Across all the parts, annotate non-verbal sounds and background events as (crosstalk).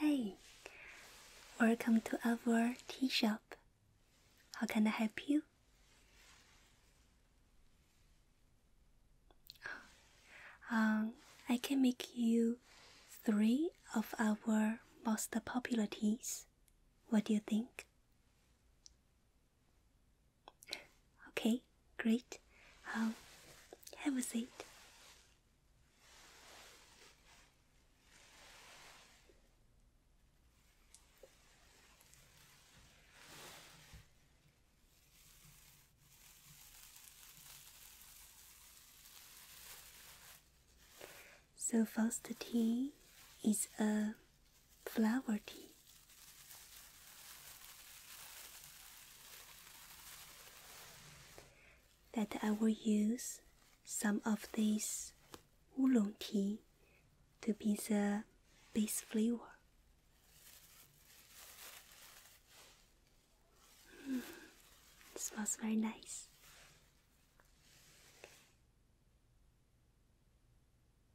Hey, welcome to our tea shop. How can I help you? Um, I can make you three of our most popular teas. What do you think? Okay, great. Um, have a seat. So first tea is a flower tea that I will use some of this oolong tea to be the base flavor. Mm, smells very nice.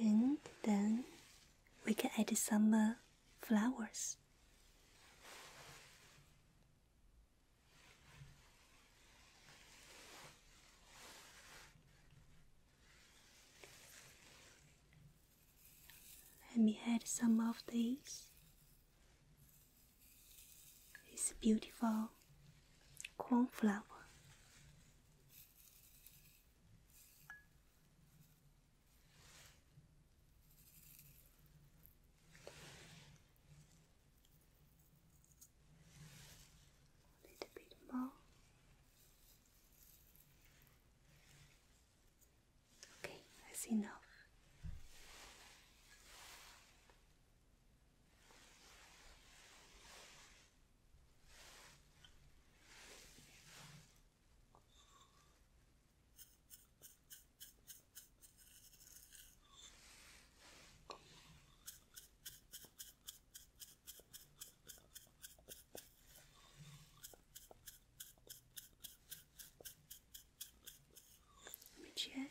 and then we can add some uh, flowers. Let me add some of these. It's beautiful cornflower. A little bit more. Okay, that's enough. Let me check.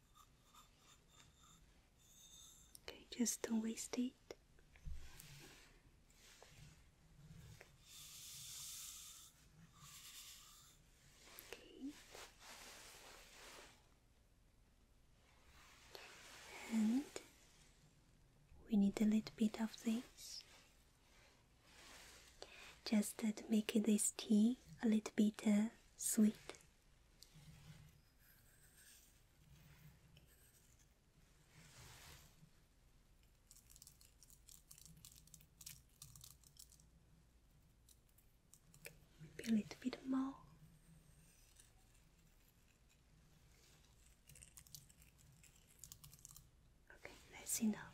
Okay, just don't waste it. Okay. And we need a little bit of this just to make this tea a little bit uh, sweet a little bit more. Okay, that's enough.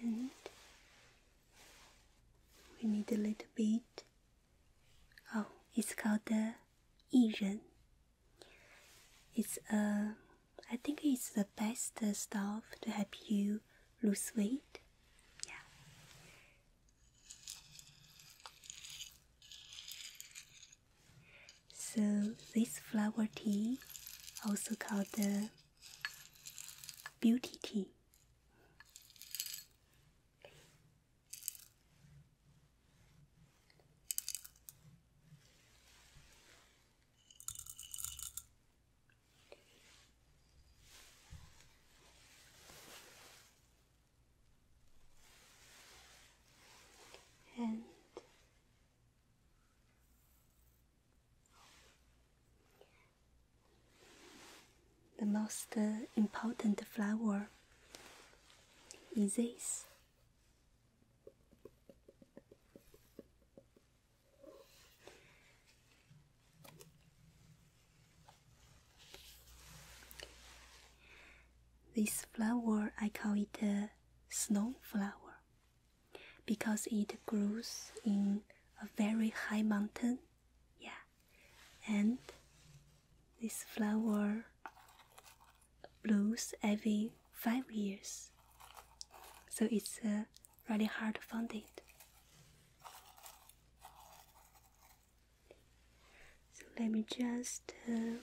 And we need a little bit. Oh, it's called the Yiren. It's a, uh, I think it's the best stuff to help you lose weight. Yeah. So this flower tea, also called the beauty tea and the most uh, important flower is this. This flower I call it a flower, because it grows in a very high mountain. Yeah, and this flower blooms every five years, so it's really hard to find it. So let me just uh,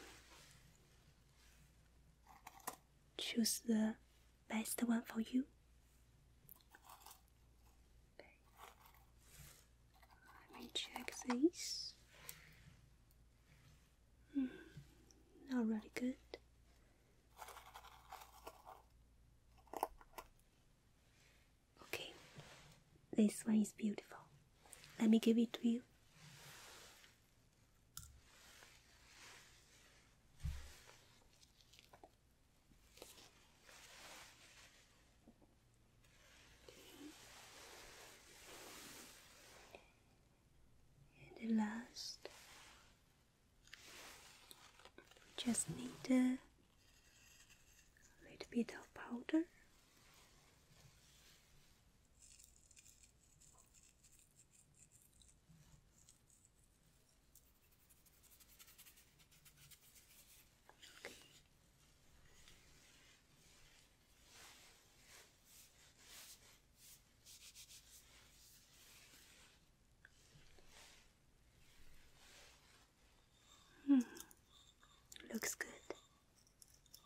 choose the best one for you. Let me check this. Mm, good. Okay, this one is beautiful. Let me give it to you. And the last, just need a little bit of powder. Hmm. Looks good.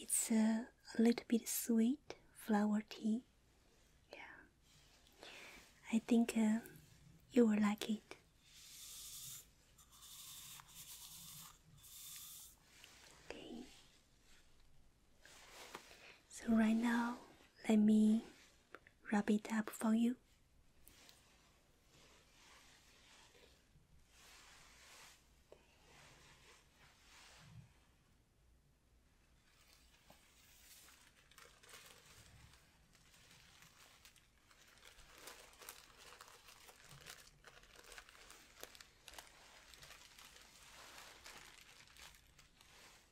It's a, little bit sweet flower tea. Yeah, I think uh, you will like it. Okay. So, right now, let me wrap it up for you.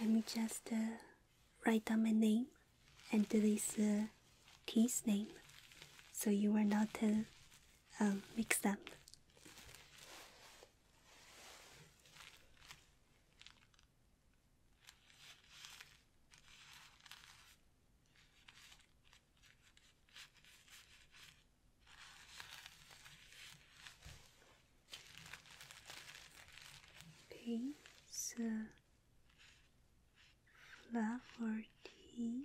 Let me just uh, write down my name and this uh, kid's name so you are not uh, um, mixed up. This flower tea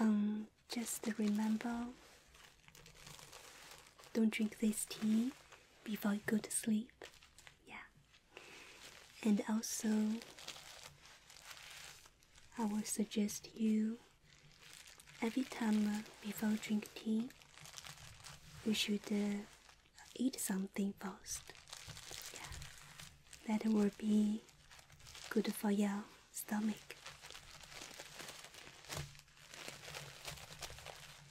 Um, just remember don't drink this tea before you go to sleep. Yeah. And also, I will suggest you every time uh, before you drink tea, you should uh, eat something first. Yeah. That will be good for your stomach.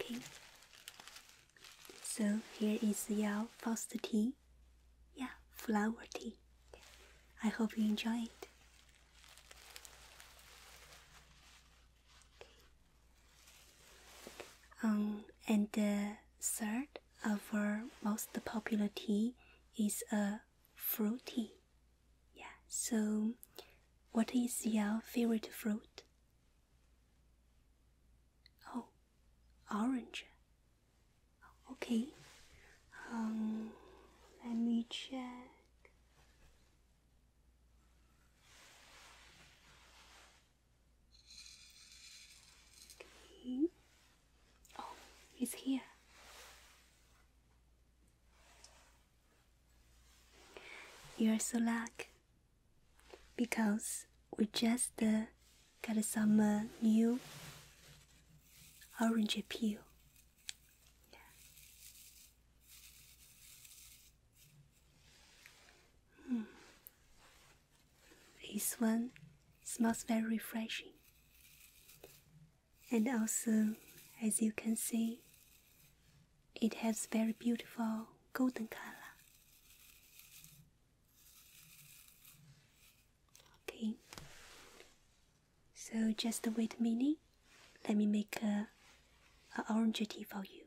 Okay, so here is your uh, first tea. Yeah, flower tea. I hope you enjoy it. Um, and the third of our most popular tea is a fruit tea. Yeah. So, what is your favorite fruit? Oh, orange. Okay. Um, let me check. Okay. Oh, it's here. You're so lucky because we just uh, got some new orange peel. Hmm. This one smells very refreshing, and also, as you can see, it has very beautiful golden color. Okay, so just wait a minute. Let me make a, a orange tea for you.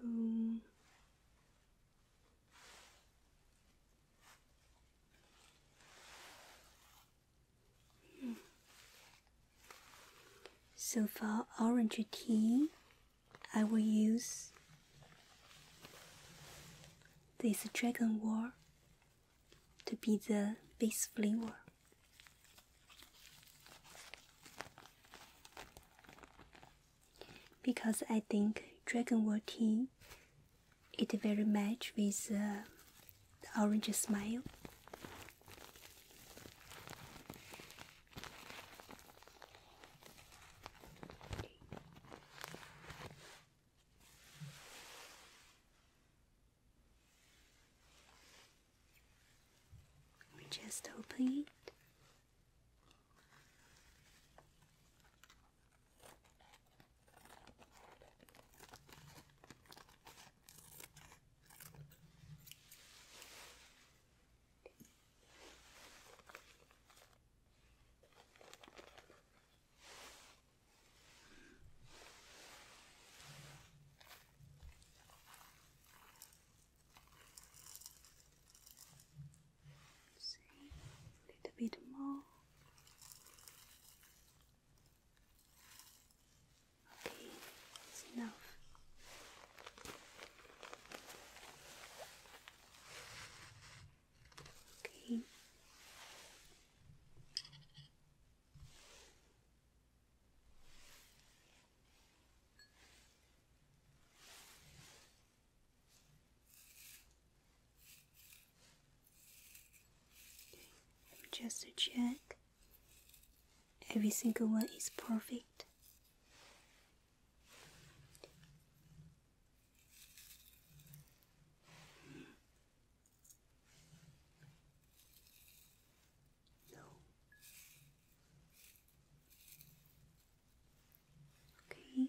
Hmm. So for orange tea, I will use this dragon wort to be the base flavor. Because I think dragon wort tea it very much with uh, the orange smile let me just open it. See a little bit more. Okay, that's enough. Okay. Okay, let check Every single one is perfect. Okay.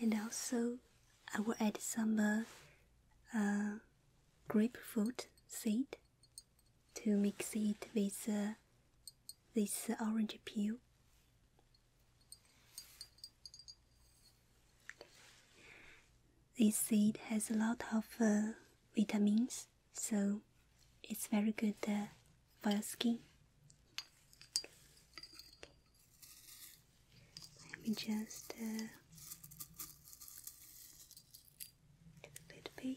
And also, I will add some uh, uh, grapefruit seed to mix it with uh, this orange peel this seed has a lot of uh, vitamins, so it's very good uh, for your skin. Let just uh, a little bit.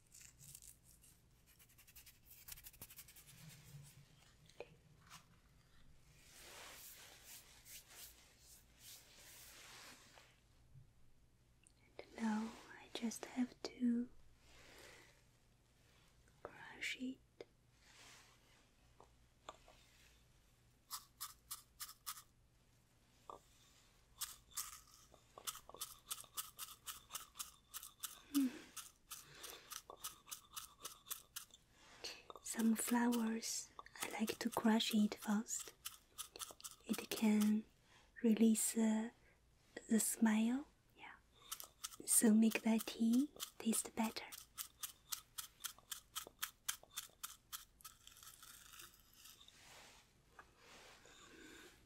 now I just have to crush it. Some flowers, I like to crush it first. It can release uh, the smile, yeah. So make that tea taste better.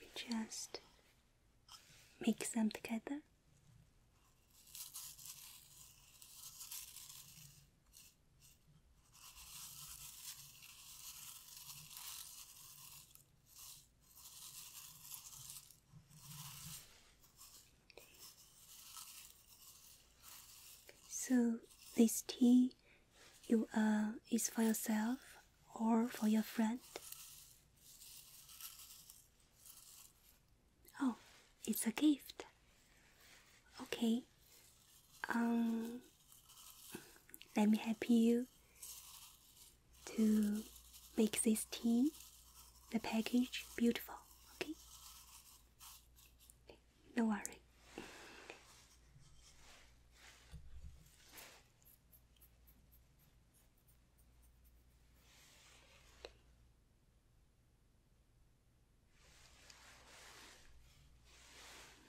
We just mix them together. So this tea you uh is for yourself or for your friend? Oh, it's a gift. Okay. Um let me help you to make this tea, the package beautiful, okay? No worry.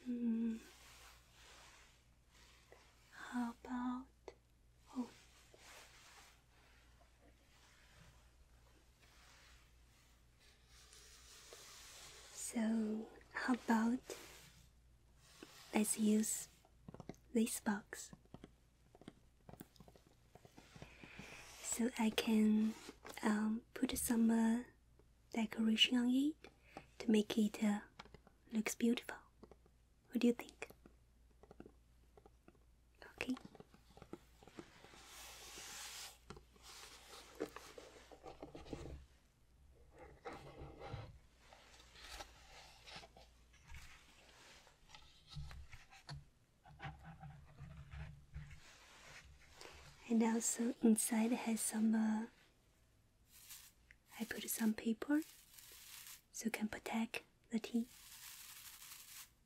Hmm. How about oh so, how about let's use this box? So I can um, put some uh, decoration on it to make it uh, looks beautiful. What do you think? Okay. And also inside has some. Uh, I put some paper, so can protect the tea.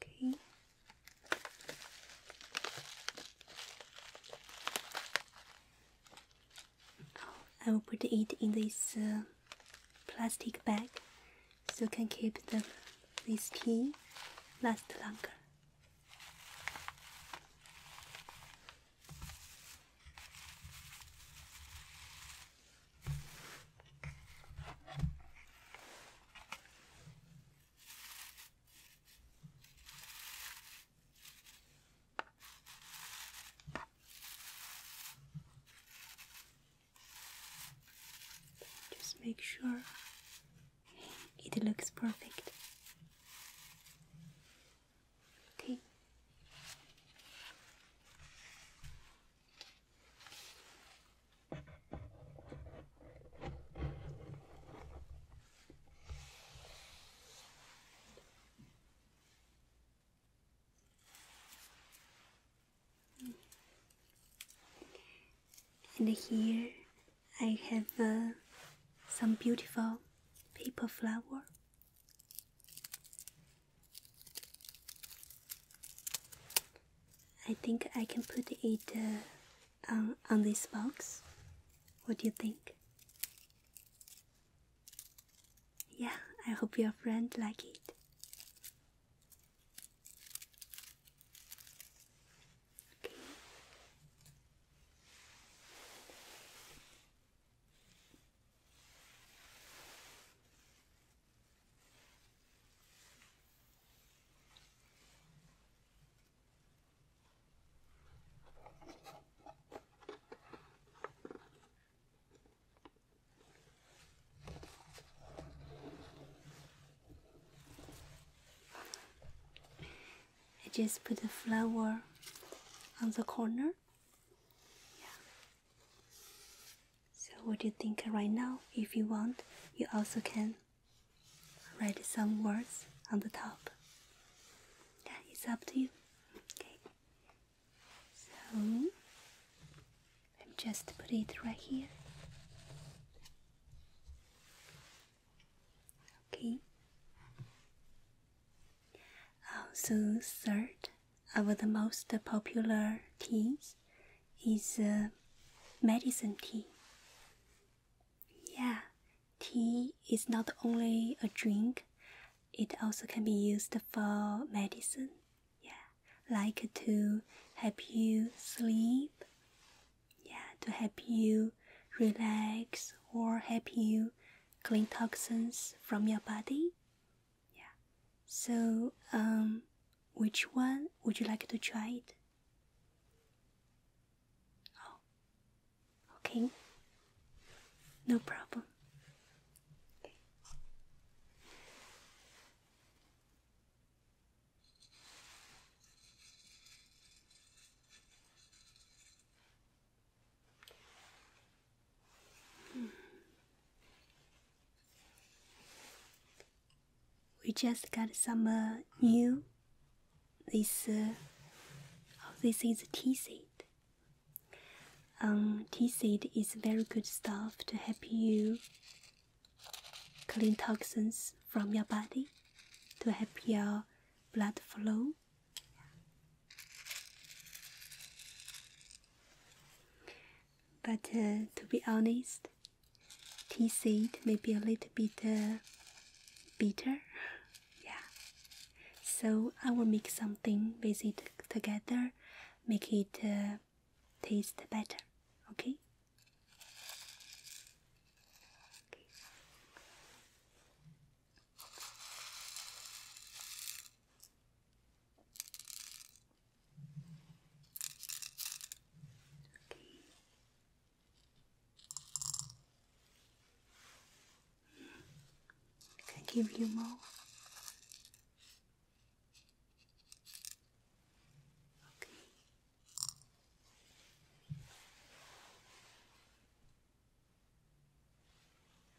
Okay. I will put it in this uh, plastic bag so you can keep the, this tea last longer. Just make sure it looks perfect. Okay. And here I have uh, some beautiful paper flower. I think I can put it uh, on, this box. What do you think? Yeah, I hope your friend like it. I just put the flower on the corner. Yeah. So what do you think right now? If you want, you also can write some words on the top. That is up to you. Okay. So I'm just put it right here. Okay. Also, oh, third, of the most popular teas is uh, medicine tea. Yeah, tea is not only a drink, it also can be used for medicine. Yeah, like to help you sleep. Yeah, to help you relax or help you clean toxins from your body. Yeah. So, um, which one would you like to try it? Oh, okay. No problem. We just got some new. This uh, oh, this is tea seed. Um, tea seed is very good stuff to help you clean toxins from your body, to help your blood flow but uh, to be honest, tea seed may be a little bit uh, bitter. (laughs) yeah. So I will make something with it together, make it uh, taste better. okay. Okay. Can I give you more? Okay.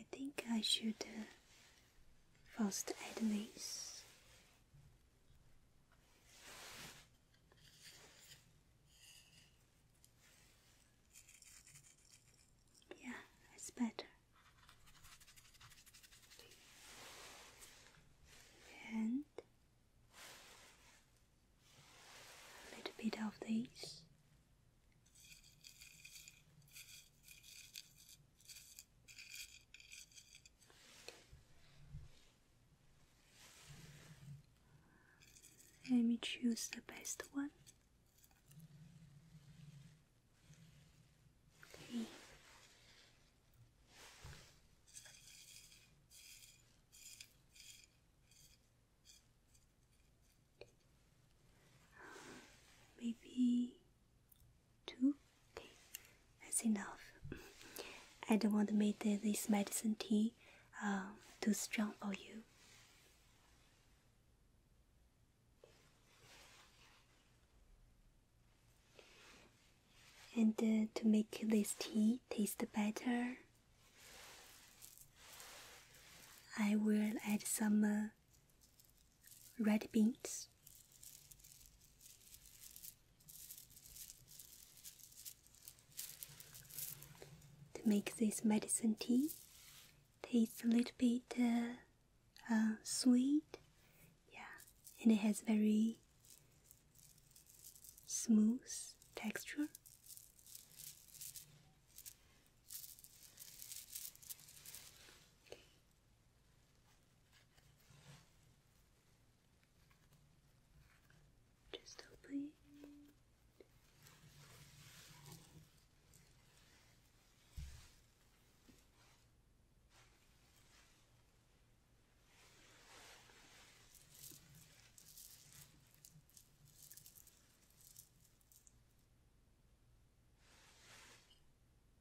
I think I should uh, first add this yeah it's better and a little bit of this let me choose the best one. Okay. Maybe Two? Okay, that's enough. I don't want to make this medicine tea um, too strong for you. And uh, to make this tea taste better, I will add some uh, red beans. To make this medicine tea, tastes a little bit uh, uh, sweet, yeah, and it has very smooth texture. Just a it.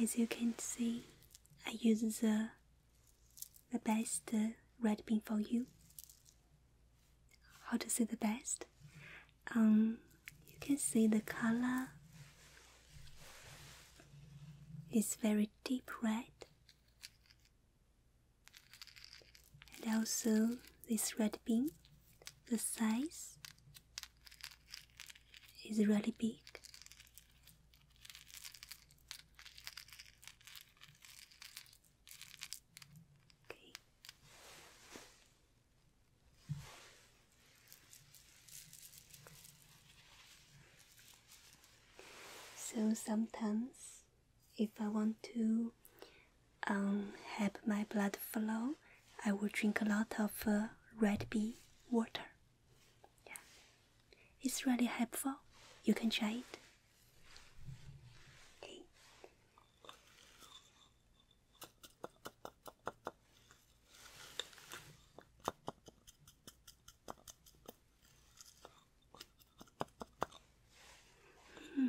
As you can see, I use the, the best red pin for you. How to see the best? Um, you can see the color is very deep red. And also this red pin, the size is really big so sometimes, if I want to um, help my blood flow, I will drink a lot of uh, red bee water. Yeah, it's really helpful. You can try it. Hmm.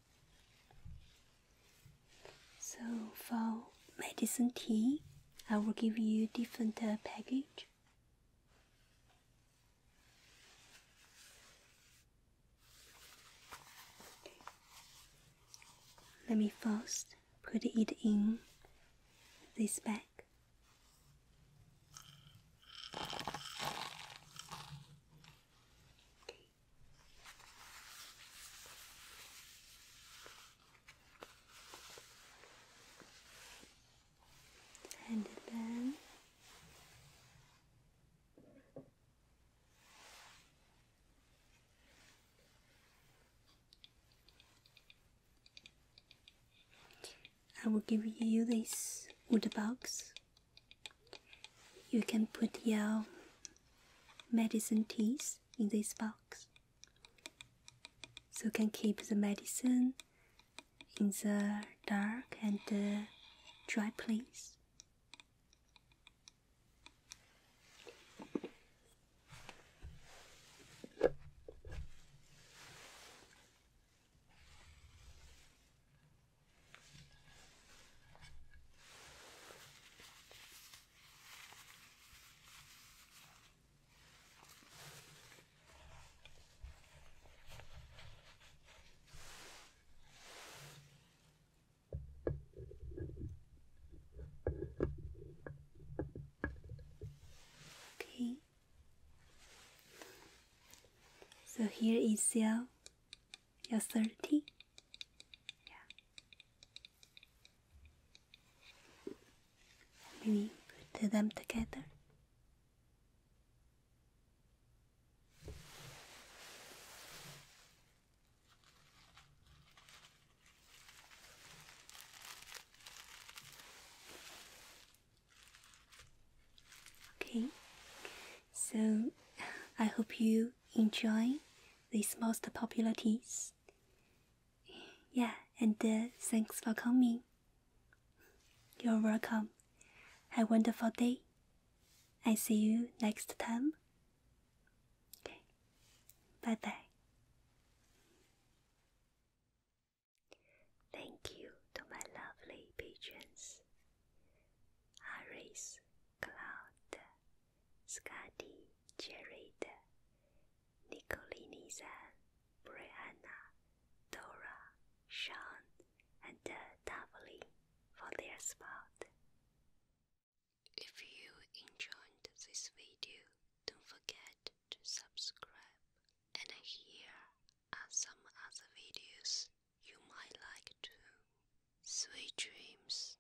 So for medicine tea, I will give you different uh, package. Let me first put it in this bag and then I will give you this wood box. You can put your medicine teas in this box. So you can keep the medicine in the dark and dry place. Okay. So here is your your thirty. We put them together. Okay, so (laughs) I hope you enjoy these most popular teas. Yeah, and uh, thanks for coming. You're welcome. Have a wonderful day. I see you next time. Okay, bye bye. Thank you to my lovely patrons, Harris, Cloud, Scotty, Jared, Nicolini-san, Brianna, Dora, Sean, and Davali for their support. If you enjoyed this video, don't forget to subscribe. And here are some other videos you might like too. Sweet dreams.